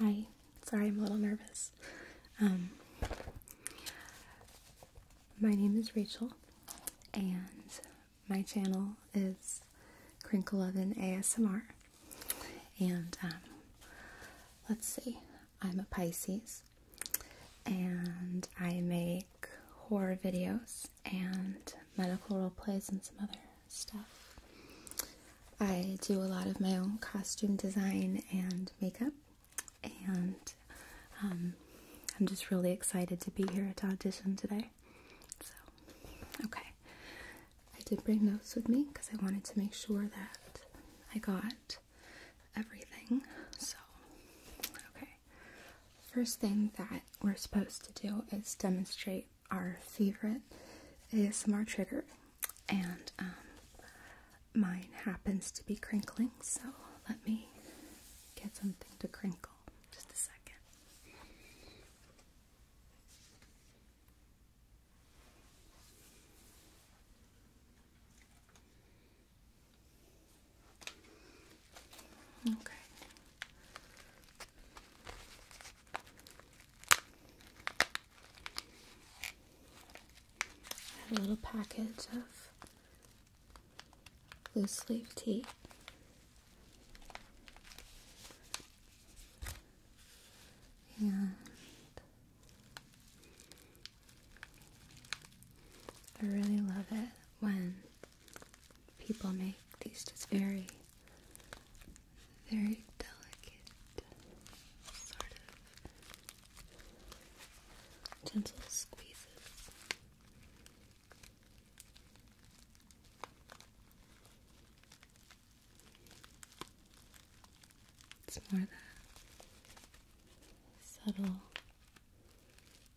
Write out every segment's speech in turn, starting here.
Hi, sorry I'm a little nervous. Um, my name is Rachel, and my channel is Crinkle Oven ASMR. And um, let's see, I'm a Pisces, and I make horror videos and medical role plays and some other stuff. I do a lot of my own costume design and makeup, and um, I'm just really excited to be here at audition today. So, okay. I did bring notes with me because I wanted to make sure that I got everything. So, okay. First thing that we're supposed to do is demonstrate our favorite ASMR trigger, and um, mine happens to be crinkling, so let me get something to crinkle. Just a second. Okay. a little package of loose leaf tea. And I really love it when people make these just very, very delicate sort of gentle squeezes. It's more that subtle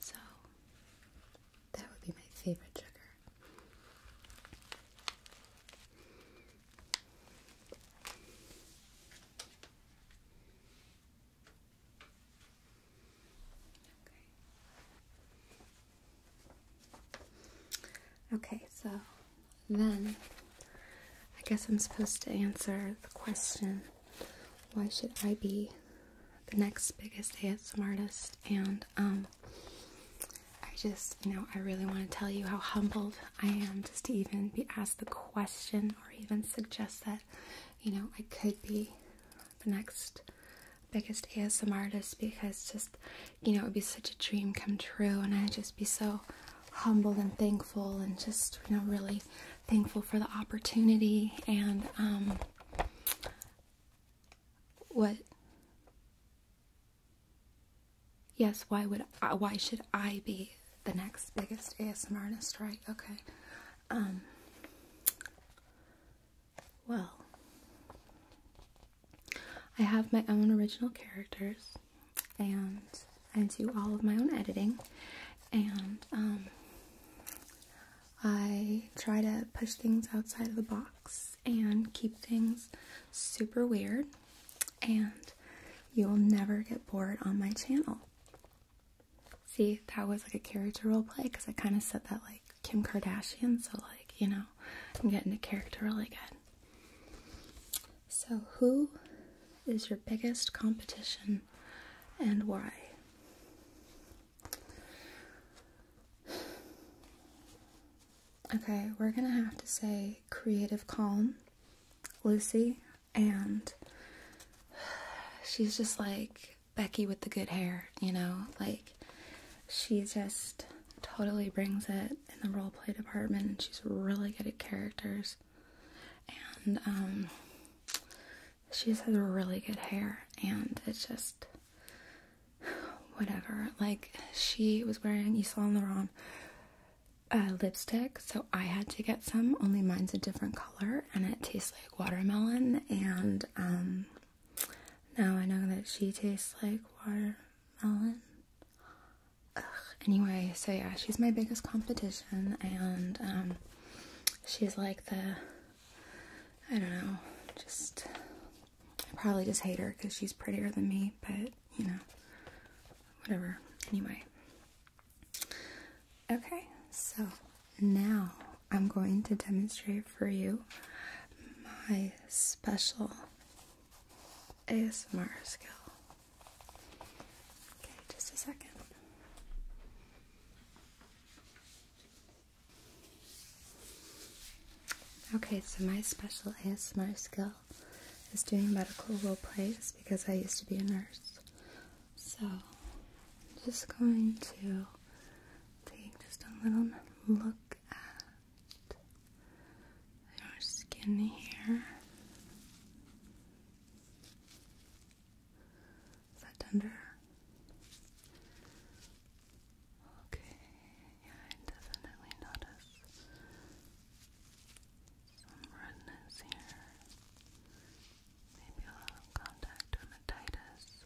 So that would be my favorite sugar. Okay. Okay, so then I guess I'm supposed to answer the question why should I be the next biggest ASM artist? And um, I just, you know, I really want to tell you how humbled I am just to even be asked the question or even suggest that, you know, I could be the next biggest ASM artist because just, you know, it would be such a dream come true and I'd just be so humble and thankful and just you know really thankful for the opportunity and um what yes why would I, uh, why should I be the next biggest ASMR artist right okay um well I have my own original characters and I do all of my own editing and um, I try to push things outside of the box and keep things super weird and you'll never get bored on my channel. See, that was like a character role play because I kind of said that like Kim Kardashian, so like, you know, I'm getting a character really good. So, who is your biggest competition and why? Okay, we're gonna have to say Creative Calm, Lucy, and she's just like Becky with the good hair, you know? Like, she just totally brings it in the role play department, and she's really good at characters and um, she has really good hair, and it's just whatever. Like she was wearing Isla Saint Laurent lipstick, so I had to get some. Only mine's a different color, and it tastes like watermelon. And um, now I know that she tastes like water Melon. Anyway, so yeah, she's my biggest competition, and um, she's like the I don't know, just probably just hate her because she's prettier than me, but you know, whatever. Anyway, okay, so now I'm going to demonstrate for you my special ASMR skill. Okay, just a second. Okay, so my special my skill is doing medical role plays because I used to be a nurse. So, I'm just going to take just a little look at our skin here. Is that tender? Okay, yeah, I definitely notice some redness here. Maybe a little contact dermatitis.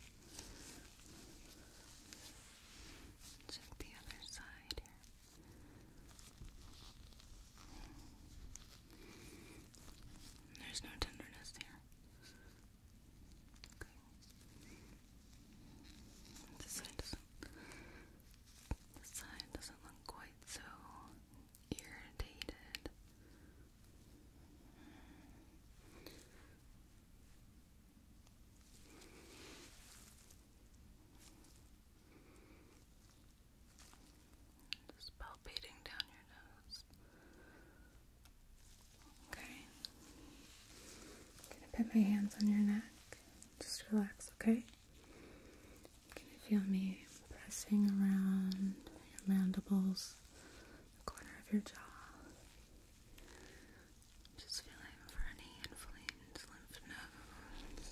Check the other side here. There's no tenderness here. Okay. This side doesn't. This side doesn't look quite so irritated. Just palpating down your nose. Okay. I'm gonna put my hands on your neck. Just relax, okay? Can you feel me pressing around your mandibles, the corner of your jaw? Just feeling for any inflamed lymph nodes.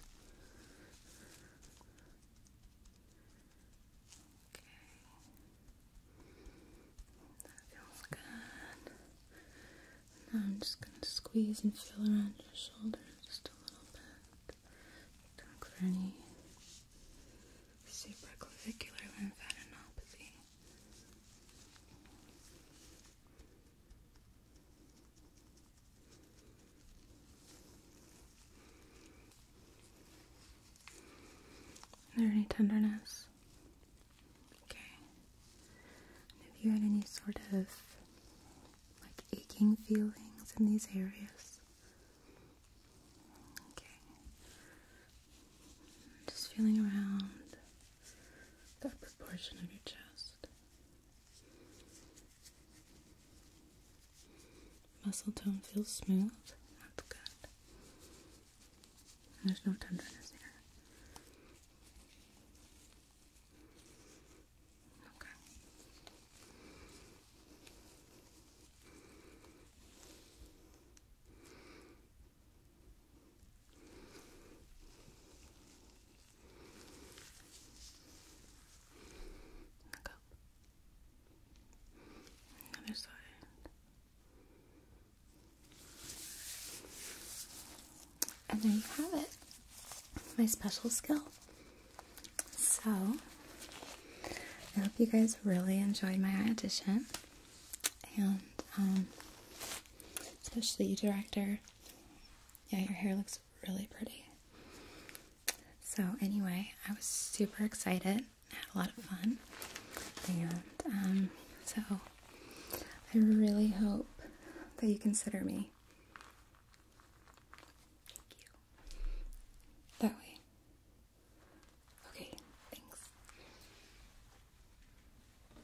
Okay. That feels good. Now I'm just going to squeeze and feel around your shoulder just a little bit. Don't any supraclavicular lymphadenopathy. Is there any tenderness? Okay. have you had any sort of like aching feelings in these areas? Okay. Just feeling around that portion of your chest. Muscle tone feels smooth. That's good. There's no tenderness here. Okay. And there you have it. My special skill. So, I hope you guys really enjoyed my audition. And, um, especially you, director, yeah, your hair looks really pretty. So, anyway, I was super excited. I had a lot of fun. And um, so, I really hope that you consider me. Thank you. That way. Okay, thanks.